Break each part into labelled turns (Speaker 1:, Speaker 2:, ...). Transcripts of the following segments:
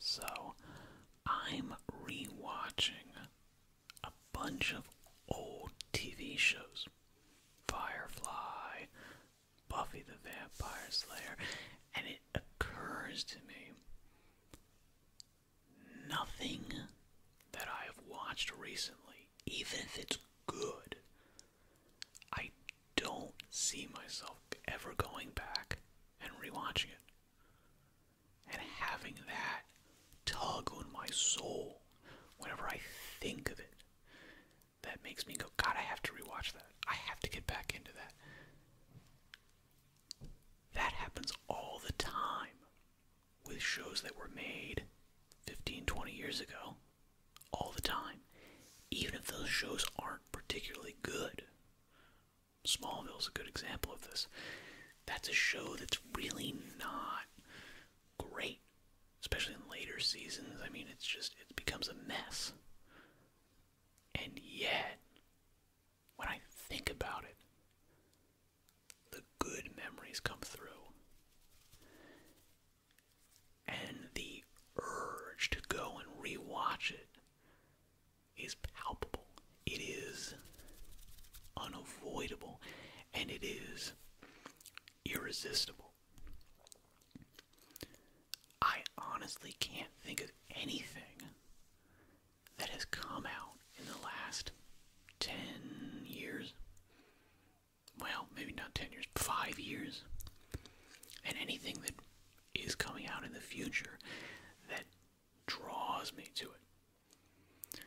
Speaker 1: So I'm rewatching a bunch of old TV shows Firefly, Buffy the Vampire Slayer, and it occurs to me nothing that I have watched recently, even if it's good, I don't see myself ever going back and rewatching it. And having that tug on my soul whenever I think of it, that makes me go, God, I have to rewatch that. I have to get back into that. That happens all the time with shows that were made 15, 20 years ago. All the time. Even if those shows aren't particularly good. Smallville is a good example of this. That's a show that's really not great, especially in later seasons. I mean, it's just, it becomes a mess. And yet, when I think about it, the good memories come through. And the urge to go and rewatch it is palpable. It is unavoidable and it is irresistible. I honestly can't think of anything that has come out in the last 10 years. Well, maybe not 10 years, 5 years. And anything that is coming out in the future that draws me to it.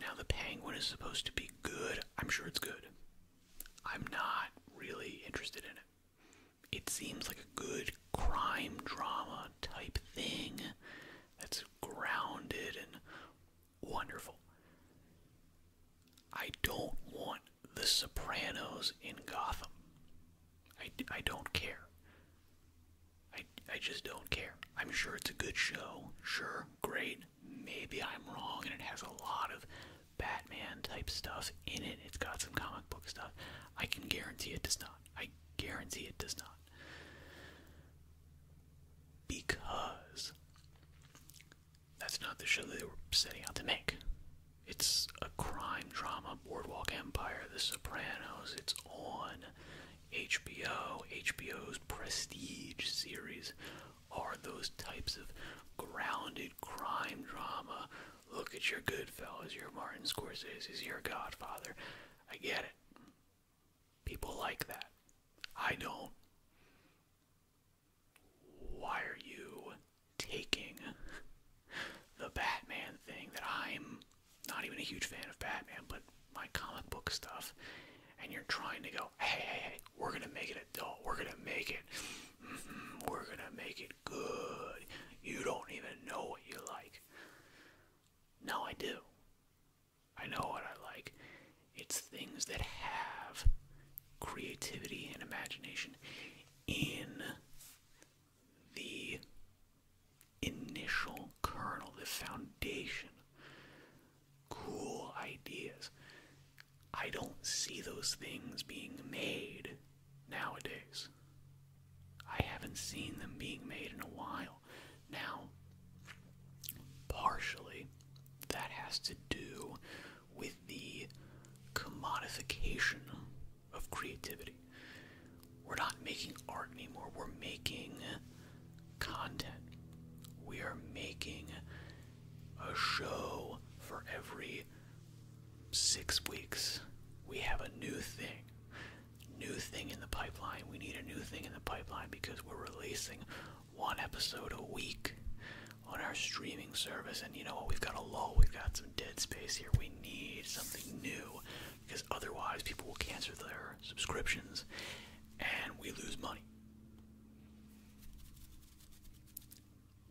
Speaker 1: Now, the Penguin is supposed to be good. I'm sure it's good. I'm not really interested in it. It seems like a good crime drama type thing that's grounded and wonderful. I don't want the Sopranos in Gotham. I, I don't care. I, I just don't care. I'm sure it's a good show. Sure, great. Maybe I'm wrong, and it has a lot of Batman type stuff in it. It's got some comic book stuff. I can guarantee it does not. I guarantee it does not. Because that's not the show they were setting out to make. It's a crime drama, Boardwalk Empire, The Sopranos. It's on HBO. HBO's prestige series are those types of grounded crime drama. Look at your Goodfellas, your Martin Scorsese's, your Godfather. I get it. People like that. I don't why are you taking the Batman thing that I'm not even a huge fan of Batman, but my comic book stuff, and you're trying to go, hey, hey, hey, we're gonna make it adult, we're gonna make it, mm-hmm, we're gonna make it good. You don't even know what you like. No, I do. I know what I like. It's things that have creativity and imagination in the initial kernel, the foundation. Cool ideas. I don't see those things being made nowadays. I haven't seen them being made in a while. Now, partially, that has to do with the commodification of creativity. We're not making art anymore, we're making content. We are making a show for every six weeks. We have a new thing. New thing in the pipeline. We need a new thing in the pipeline because we're releasing one episode a week on our streaming service. And you know what? We've got a lull. We've got some dead space here. We need something new because otherwise people will cancel their subscriptions and we lose money.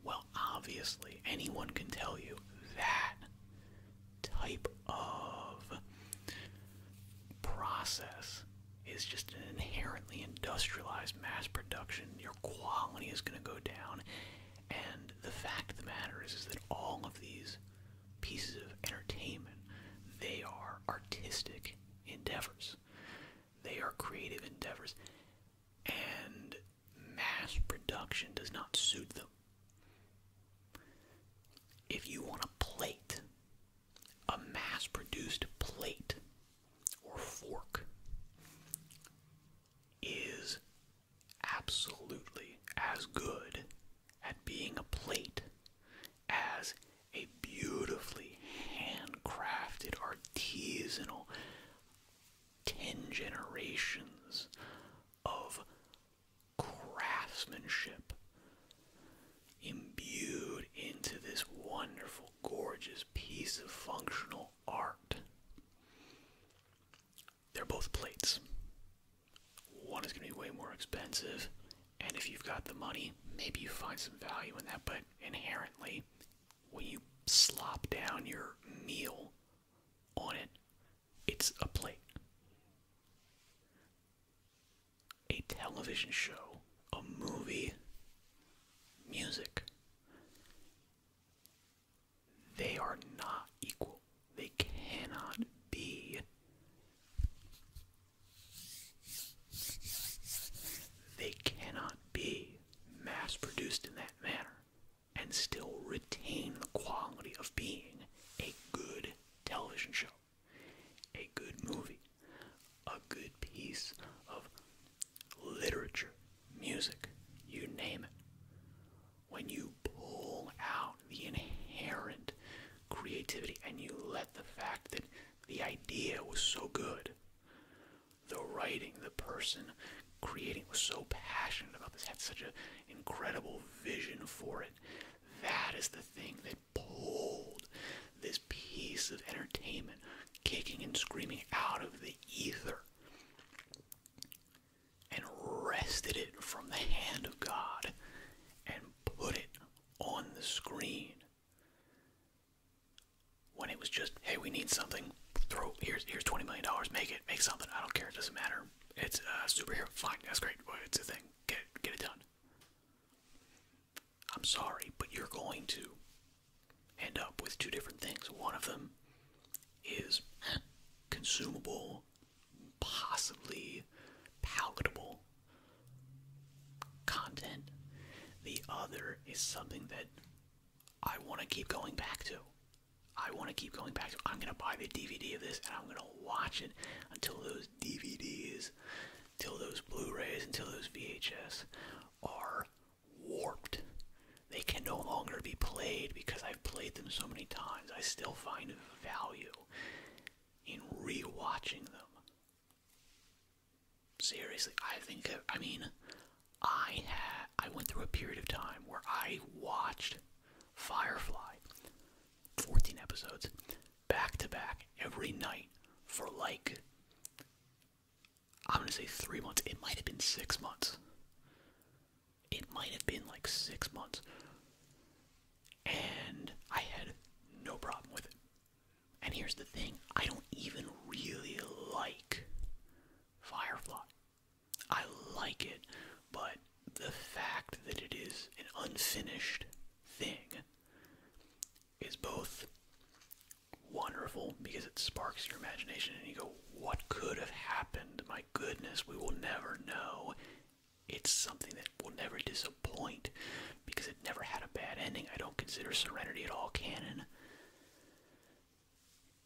Speaker 1: Well, obviously, anyone can tell you that type of process is just an inherent currently industrialized mass production, your quality is going to go down. And the fact of the matter is, is that all of these pieces of entertainment, they are artistic endeavors. They are creative endeavors. And mass production does not suit them. If you want a plate, a mass produced plate or fork is absolutely as good at being a plate as a beautifully handcrafted, artisanal, 10 generations of craftsmanship imbued into this wonderful, gorgeous piece of functional art. They're both plates. One is going to be way more expensive, and if you've got the money, maybe you find some value in that, but inherently, when you slop down your meal on it, it's a plate. A television show, a movie, music, they are not equal. They cannot be. They cannot be mass produced in that manner and still retain the quality of being a good television show, a good movie, a good piece of literature, music, you name it. When you pull out the inherent creativity and you let the fact that the idea was so good, the writing, the person creating was so passionate about this, had such an incredible vision for it. That is the thing that pulled this piece of entertainment kicking and screaming out of the ether and wrested it from the hand of God and put it on the screen. When it was just, hey, we need something. Throw here's here's twenty million dollars. Make it, make something. I don't care. It doesn't matter. It's a superhero. Fine, that's great. It's a thing. Get get it done. I'm sorry, but you're going to end up with two different things. One of them is consumable, possibly palatable content. The other is something that I want to keep going back to. I want to keep going back to. I'm going to buy the DVD of this and I'm going to watch it until those DVDs, until those Blu rays, until those VHS are warped. They can no longer be played because I've played them so many times. I still find value in rewatching them. Seriously, I think I mean I had I went through a period of time where I watched Firefly 14 episodes back to back every night for like I'm gonna say three months. It might have been six months. It might have been like six months. And I had no problem with it. And here's the thing I don't even really like Firefly. I like it, but the fact that it is an unfinished thing is both wonderful because it sparks your imagination and you go, What could have happened? My goodness, we will never know. It's something that will never disappoint because it never had a bad ending. I don't consider Serenity at all canon.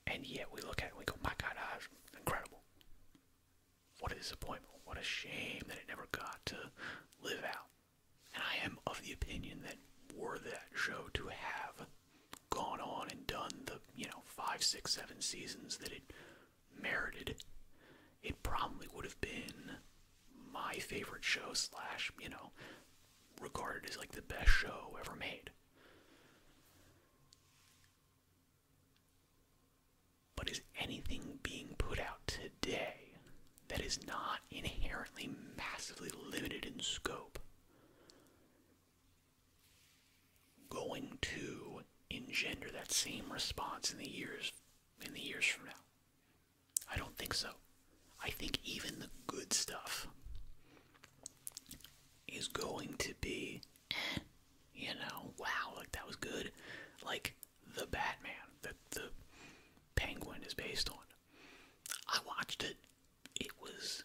Speaker 1: And yet we look at it we go, My God, ah, incredible. What a disappointment. What a shame that it never got to live out. And I am of the opinion that were that show to have gone on and done the, you know, five, six, seven seasons that it merited, it probably would have been my favorite show, slash, you know, regarded as like the best show ever made. But is anything being put out today that is not inherently massively limited in scope going to engender that same response in the years in the years from now i don't think so i think even the good stuff is going to be you know wow like that was good like the Batman that the Penguin is based on. I watched it. It was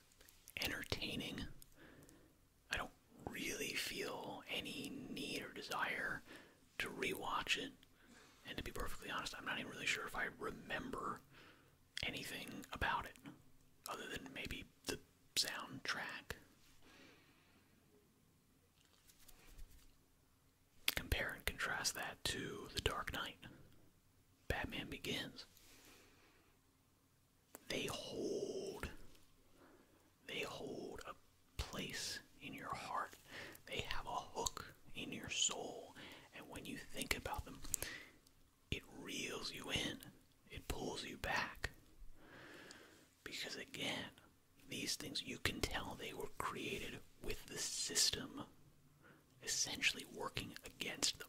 Speaker 1: entertaining. I don't really feel any need or desire to rewatch it. And to be perfectly honest, I'm not even really sure if I remember anything about it, other than maybe the soundtrack compare and contrast that to The Dark Knight, Batman Begins. They hold they hold a place in your heart. They have a hook in your soul, and when you think about them, it reels you in. It pulls you back. Because again, these things, you can tell they were created with the system essentially working against them.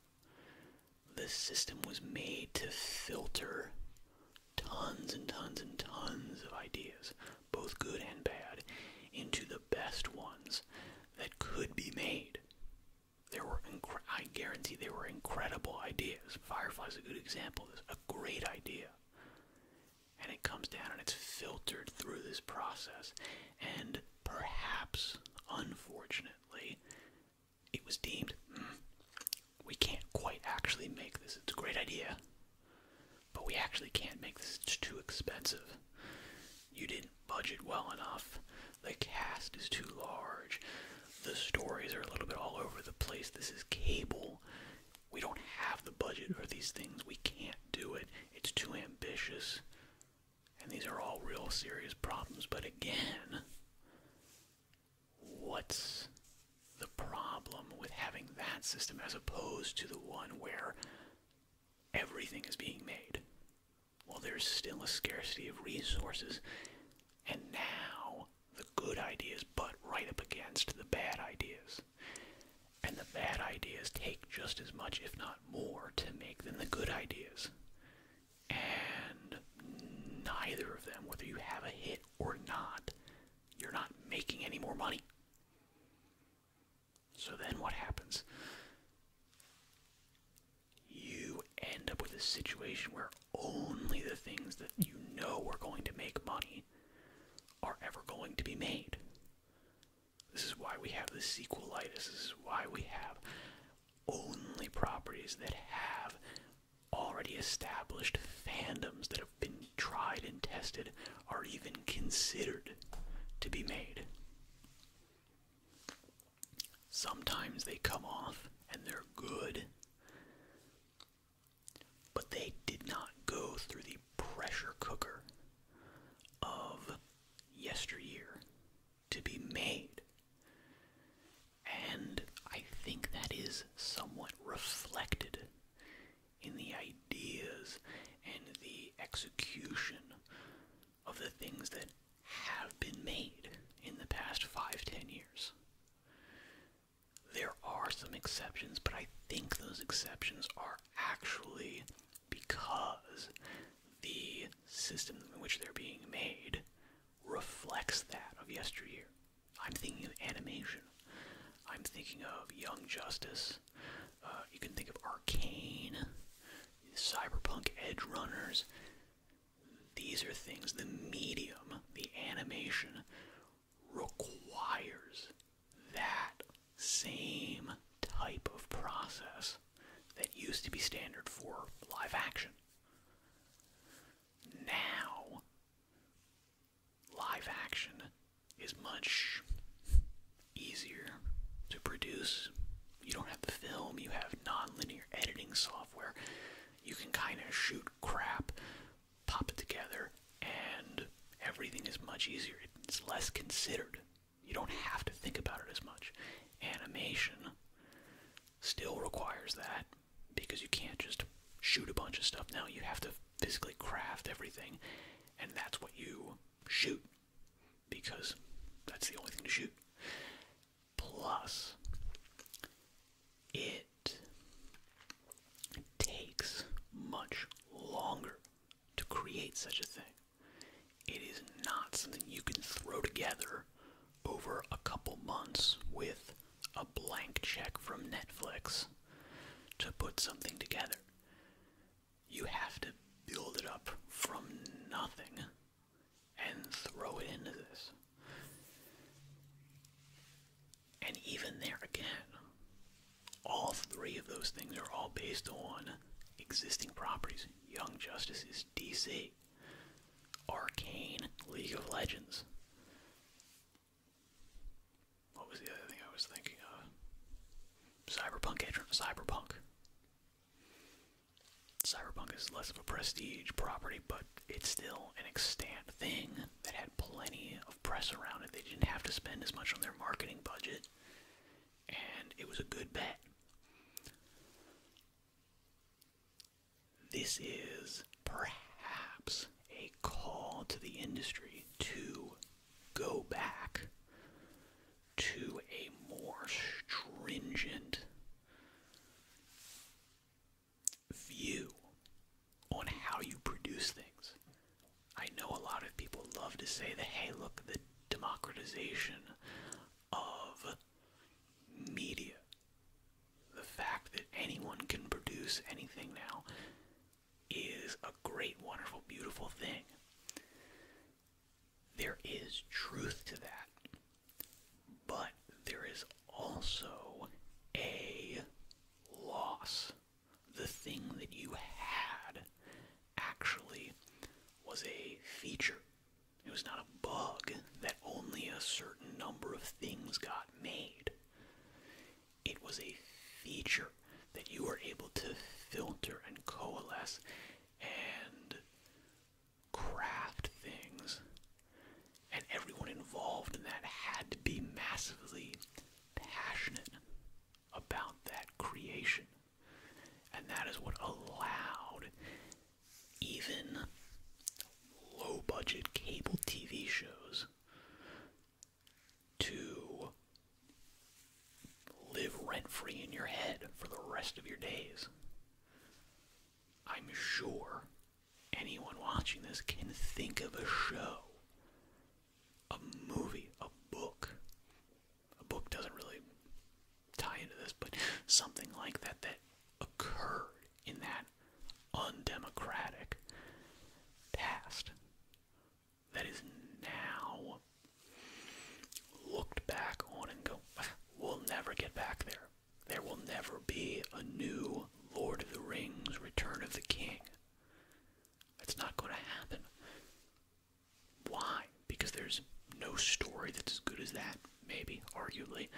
Speaker 1: The system was made to filter tons and tons and tons of ideas, both good and bad, into the best ones that could be made. There were, I guarantee, there were incredible ideas. Firefly's a good example. It's a great idea and it comes down and it's filtered through this process. And perhaps, unfortunately, it was deemed hmm, we can't quite actually make this. It's a great idea, but we actually can't make this. It's too expensive. You didn't budget well enough. The cast is too large. The stories are a little bit all over the place. This is cable we don't have the budget for these things. We can't do it. It's too ambitious. And these are all real serious problems. But again, what's the problem with having that system as opposed to the one where everything is being made? Well, there's still a scarcity of resources, and now the good ideas butt right up against the bad ideas. And the bad ideas take just as much, if not more, to make than the good ideas. And neither of them, whether you have a hit or not, you're not making any more money. So then what happens? You end up with a situation where only the things that you know are going to make money are ever going to be made. This is why we have the sequelitis. This is why we have only properties that have already established fandoms that have been tried and tested are even considered to be made. Sometimes they come off and they're good. But they did not go through the pressure cooker of yesteryear to be made. And I think that is somewhat reflected in the ideas and the execution of the things that have been made in the past five, ten years there are some exceptions, but I think those exceptions are actually because the system in which they're being made reflects that of yesteryear. I'm thinking of animation. I'm thinking of Young Justice. Uh, you can think of Arcane, Cyberpunk Edge Runners. These are things, the medium, the animation, requires that same type of process that used to be standard for live action. Now, live action is much easier to produce. You don't have the film, you have non linear editing software. You can kind of shoot crap pop it together, and everything is much easier. It's less considered. You don't have to think about it as much. Animation still requires that because you can't just shoot a bunch of stuff now. You have to physically craft everything, and that's what you shoot because that's the only thing to shoot. Plus, it it takes much longer to create such a thing. It is not something you can throw together over a couple months with a blank check from Netflix to put something together. You have to build it up from nothing and throw it into this. And even there again, all three of those things are all based on existing properties. Young Justice DC, Arcane, League of Legends. What was the other thing I was thinking of? Cyberpunk, Cyberpunk. Cyberpunk is less of a prestige property, but it's still an extant thing that had plenty of press around it. They didn't have to spend as much on their marketing budget, and it was a good bet. This is perhaps a call to the industry to go back to a more stringent view on how you produce things. I know a lot of people love to say that, hey, look, the democratization of media, the fact that anyone can produce anything now, is a great, wonderful, beautiful thing. There is truth to that but there is also a loss. The thing that you had actually was a feature. It was not a bug that only a certain number of things got made. It was a feature that you were able to filter and coalesce and craft things and everyone involved in that had to be massively passionate about that creation. And that is what allowed even low budget cable TV shows to live rent free in your head for the rest of your days. I'm sure anyone watching this can think of a show, a movie, a book. A book doesn't really tie into this, but something like that that occurred in that undemocratic past that is now looked back on and go, ah, we'll never get back there. There will never be a new Lord of the Rings Return of the King. It's not going to happen. Why? Because there's no story that's as good as that, maybe, arguably.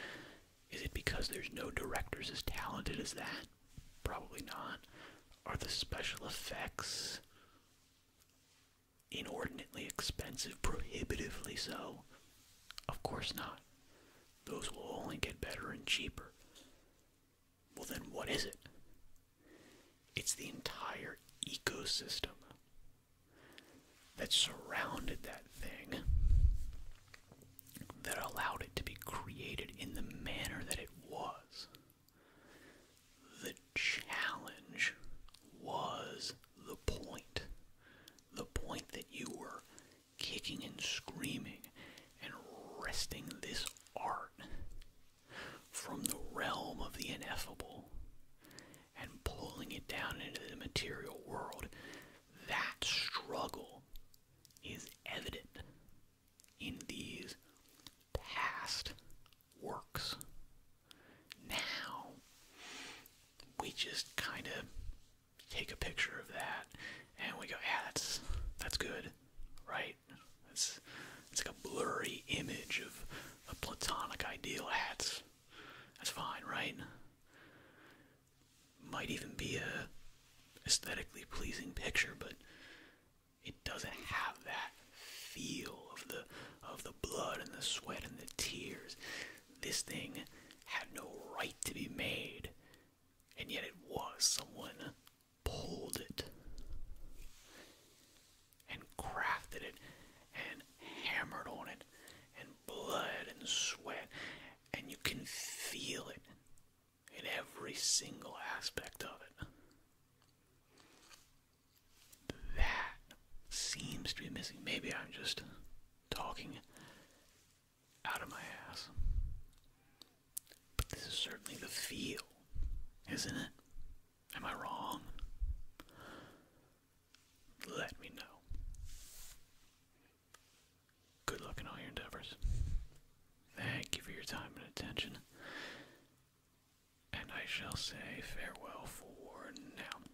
Speaker 1: Is it because there's no directors as talented as that? Probably not. Are the special effects inordinately expensive, prohibitively so? Of course not. Those will only get better and cheaper. Well, then what is it? It's the entire ecosystem that surrounded that thing that allowed it to be created in the manner that it was. The challenge was the point. The point that you were kicking and screaming and wresting this art from the realm of the ineffable and pulling it down into the material world. That struggle is evident in these past works. Now, we just kind of take a picture of that, and we go, yeah, that's that's good, right? It's it's like a blurry image of a platonic ideal. That's that's fine, right? Might even be a aesthetically pleasing picture, but it doesn't have that feel of the of the blood and the sweat and the tears this thing had no right to be made, and yet it was. Someone pulled it and crafted it and hammered on it, and blood and sweat, and you can feel it in every single aspect of it. That seems to be missing. Maybe I'm just talking out of my ass. But this is certainly the feel, isn't it? Am I wrong? Let me know. Good luck in all your endeavors. Thank you for your time and attention. And I shall say farewell for now.